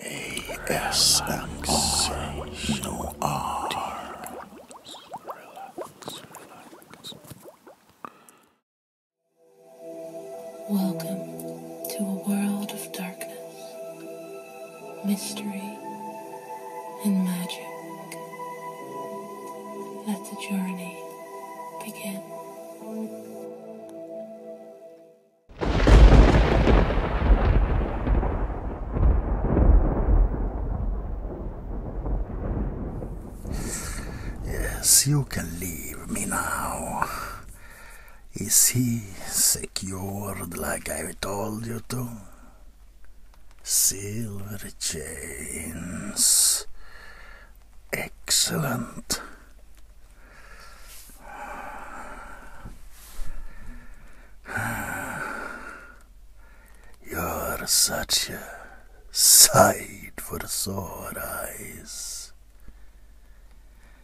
ASMR. Welcome to a world of darkness, mystery, and magic. Let the journey begin. Yes, you can leave me now. Is he secured like I told you to? Silver chains. Excellent. You're such a sight for sore eyes.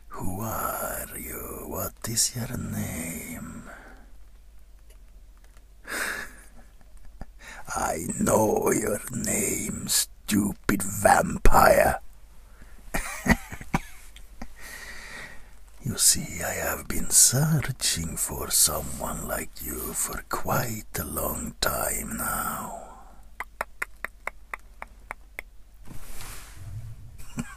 Who are you? What is your name? I know your names stupid vampire. you see, I have been searching for someone like you for quite a long time now.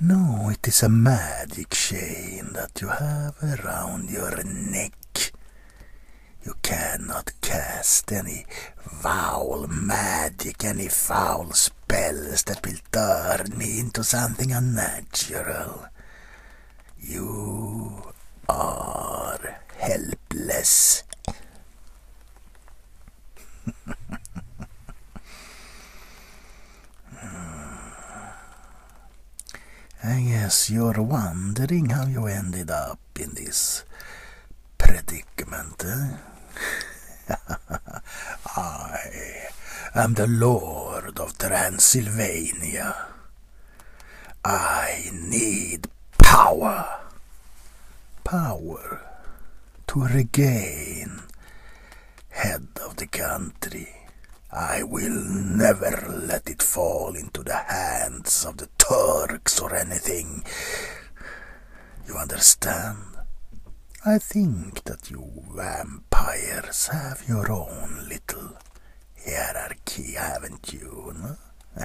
no, it is a magic chain that you have around your neck. You cannot cast any foul magic, any foul spells that will turn me into something unnatural. You are helpless. I guess you're wondering how you ended up in this predicament. Eh? I am the Lord of Transylvania. I need power. Power to regain head of the country. I will never let it fall into the hands of the Turks or anything. You understand? I think that you vampires have your own little hierarchy, haven't you?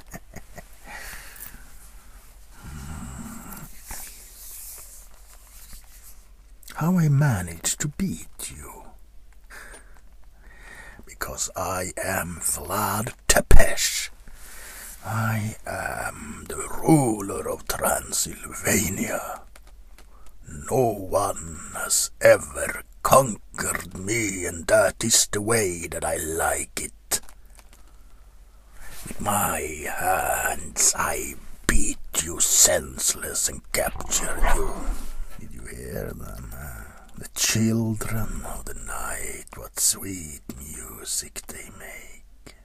Hmm. How I managed to beat you because I am Vlad Tepesh. I am the ruler of Transylvania. No one has ever conquered me, and that is the way that I like it. With my hands I beat you senseless and captured you. Did you hear them? the children of the night, what sweet music they make.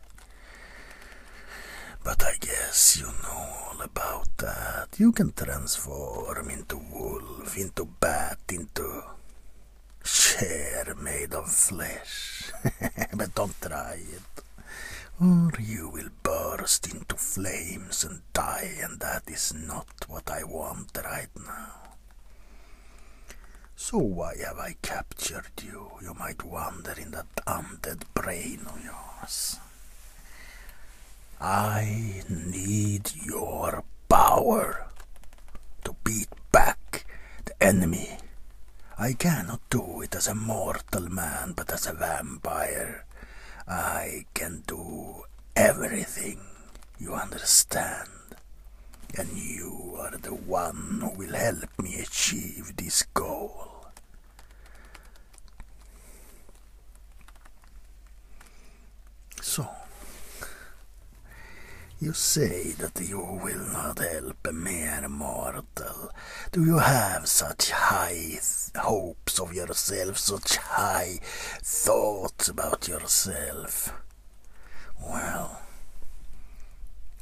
But I guess you know all about that. You can transform into wolf, into bat, into chair made of flesh. but don't try it, or you will burst into flames and die, and that is not what I want right now. So why have I captured you, you might wonder in that undead brain of yours? I need your power to beat back the enemy. I cannot do it as a mortal man, but as a vampire. I I can do everything, you understand? And you are the one who will help me achieve this goal. So, you say that you will not help a mere mortal. Do you have such high hopes? of yourself, such high thoughts about yourself. Well,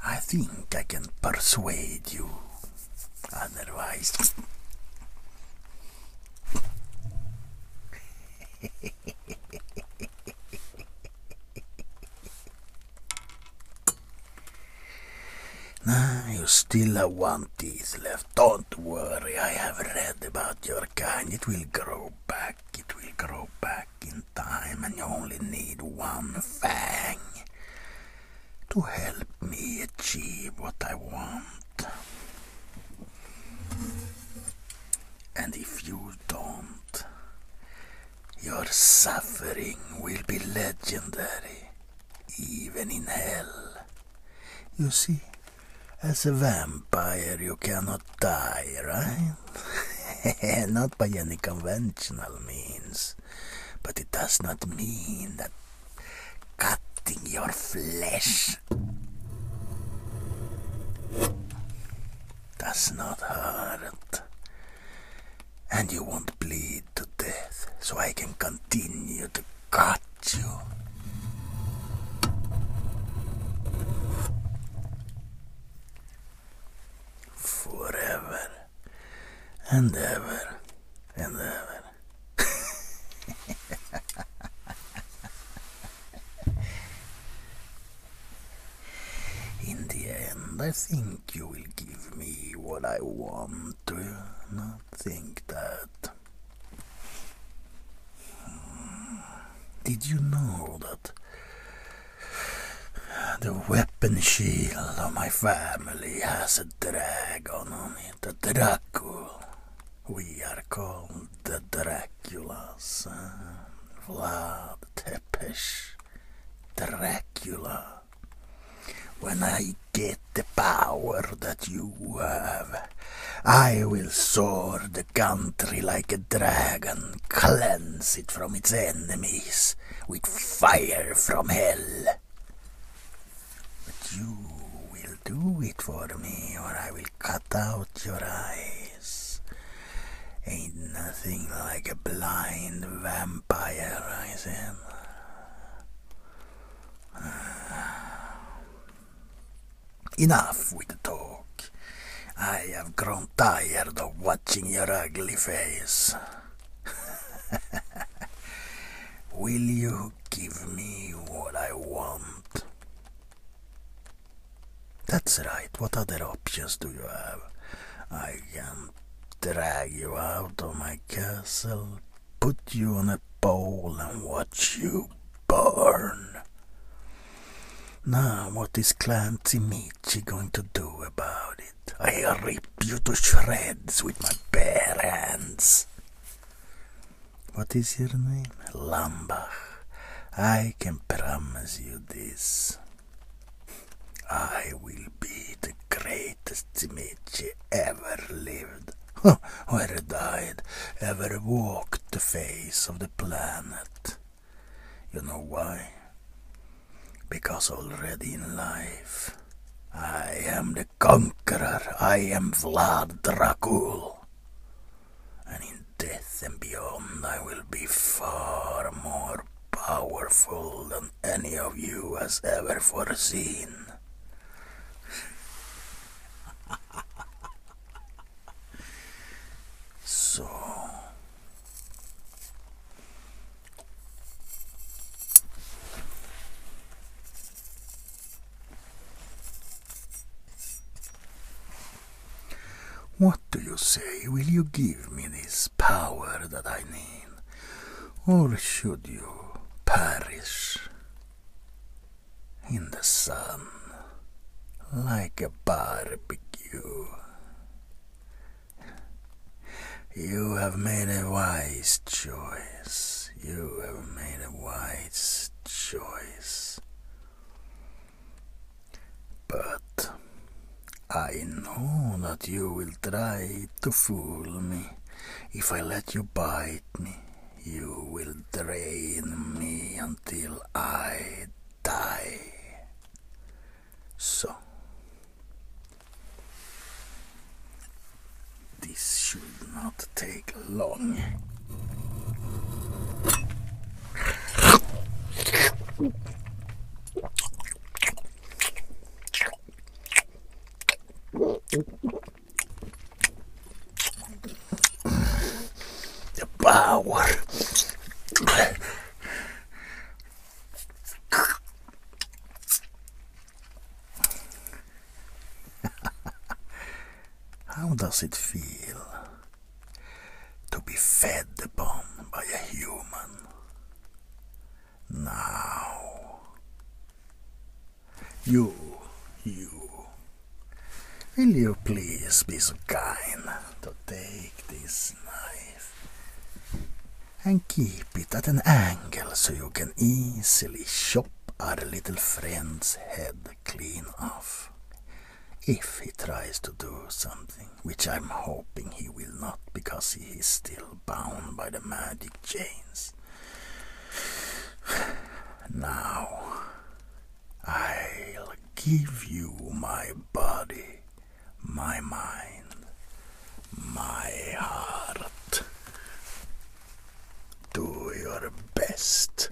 I think I can persuade you. Otherwise. Now you still have one tooth left. Don't worry, I have read about your kind. It will grow back. It will grow back in time, and you only need one fang to help me achieve what I want. And if you don't, your suffering will be legendary even in hell. You see, as a vampire you cannot die, right? not by any conventional means. But it does not mean that cutting your flesh does not hurt. And you won't bleed to death so I can continue to cut you. Forever and ever and ever. In the end, I think you will give me what I want, do you not think that? Did you know that the weapon shield of my family has a dragon on it, a Dracul? We are called the Draculas. Eh? Vlad Tepes, Dracula. When I get the power that you have, I will soar the country like a dragon, cleanse it from its enemies with fire from hell. But you will do it for me, or I will cut out your eyes. Ain't nothing like a blind vampire. Enough with the talk. I have grown tired of watching your ugly face. Will you give me what I want? That's right. What other options do you have? I can drag you out of my castle, put you on a pole, and watch you burn. Now, what is Clan Timichi going to do about it? I will rip you to shreds with my bare hands. What is your name? Lambach. I can promise you this. I will be the greatest Zmichi ever lived, where died, ever walked the face of the planet. You know why? Because already in life, I am the conqueror, I am Vlad Dracul. And in death and beyond, I will be far more powerful than any of you has ever foreseen. so. What do you say? Will you give me this? power that I need, or should you perish in the sun like a barbecue? You have made a wise choice. You have made a wise choice. But I know that you will try to fool me. If I let you bite me, you will drain me until I die. So, this should not take long. The power. How does it feel to be fed upon by a human. Now, you, you, will you please be so kind to take this knife and keep it at an angle so you can easily chop our little friend's head clean off if he tries to do something, which I'm hoping he will not because he is still bound by the magic chains. Now, I'll give you my body, my mind, my heart. Do your best.